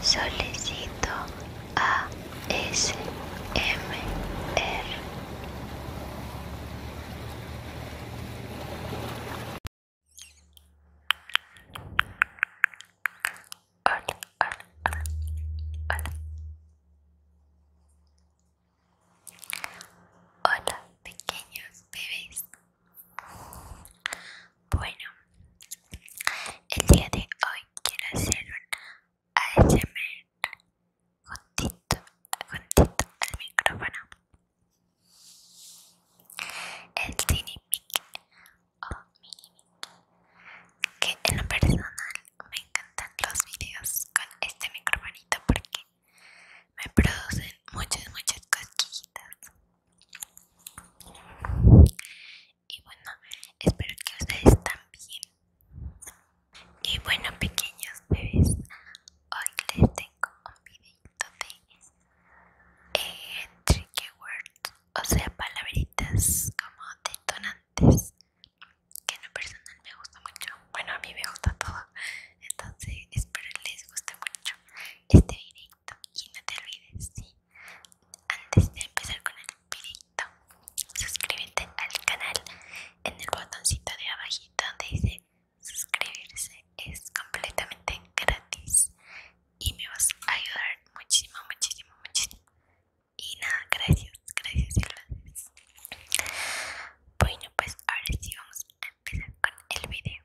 Solicito ASMR. Hola, hola, hola, hola. Hola, pequeños bebés. Bueno, el día de hoy quiero hacer un ASMR juntito, juntito al micrófono. El Cinemic o Minimic, que en lo personal me encantan los videos con este microfonito porque me producen muchas, muchas cosquillitas. Y bueno, espero que ustedes también. Y bueno, pequeños bebés, hoy les tengo un videito de eh, tricky words, o sea, palabritas como detonantes, que en lo personal me gusta mucho. Bueno, a mí me gusta todo, entonces espero que les guste mucho este video y no te olvides, Antes de empezar con el videito, suscríbete al canal en el botoncito de abajito donde dice suscribirse. Es completamente gratis y me vas a ayudar muchísimo, muchísimo, muchísimo. Y nada, gracias, gracias y gracias. Bueno, pues ahora sí vamos a empezar con el video.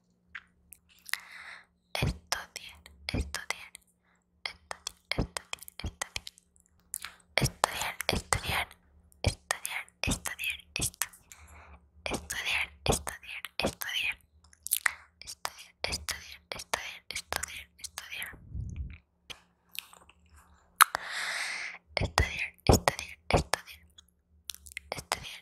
Estudiar, estudiar, estudiar, estudiar, estudiar, estudiar, estudiar, estudiar, estudiar, estudiar, estudiar, estudiar, estudiar, estudiar, estudiar, estudiar, estudiar, estudiar, estudiar, estudiar,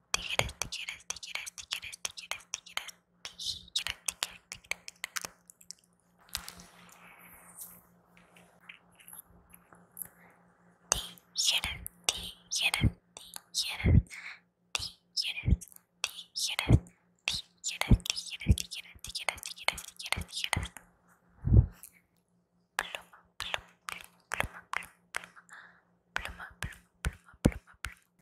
tijeras, tijeras, tijeras, tijeras, tijeras, tijeras, tijeras, tijeras, tijeras. Tijeras, tijeras, tijeras, tijeras, tijeras, tijeras, tijeras, tijeras, tijeras, tijeras, tijeras, tijeras. Pluma, pluma, pluma, pluma, pluma, pluma, pluma, pluma, pluma, pluma, pluma,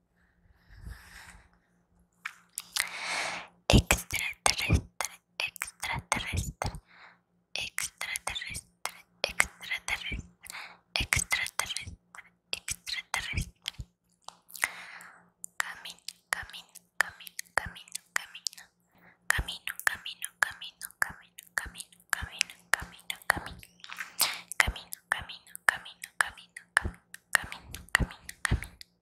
Extraterrestre, extraterrestre, extraterrestre, extraterrestre, extraterrestre, extraterrestre. Camino, camino, camino, camino, camino. Camino, camino, camino, camino, camino, camino, camino, camino. Camino, camino, camino, camino, camino, camino, camino, camino.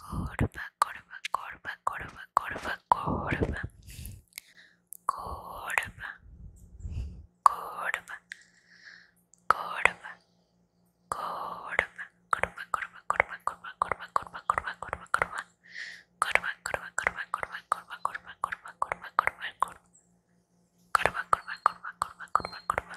corba corba corba corba corba corba corma corma corma corva, corma corma corma corva, corva, corva, corva, corma corva, corma corva, corva, corva, corva, corma corma corma corma corma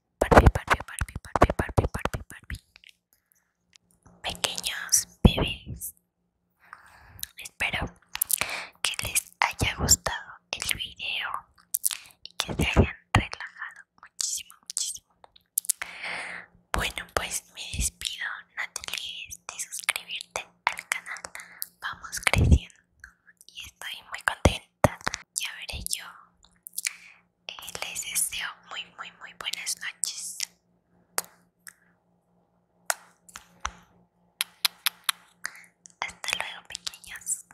parte parte parte Barbie, Barbie, Pequeños bebés. Espero que les haya gustado el video y que se hayan relajado muchísimo, muchísimo. Bueno, pues me despido. No te olvides de suscribirte al canal. Vamos creciendo y estoy muy contenta ya veré yo. Eh, les deseo muy, muy, muy buenas noches. Hasta luego, pequeños.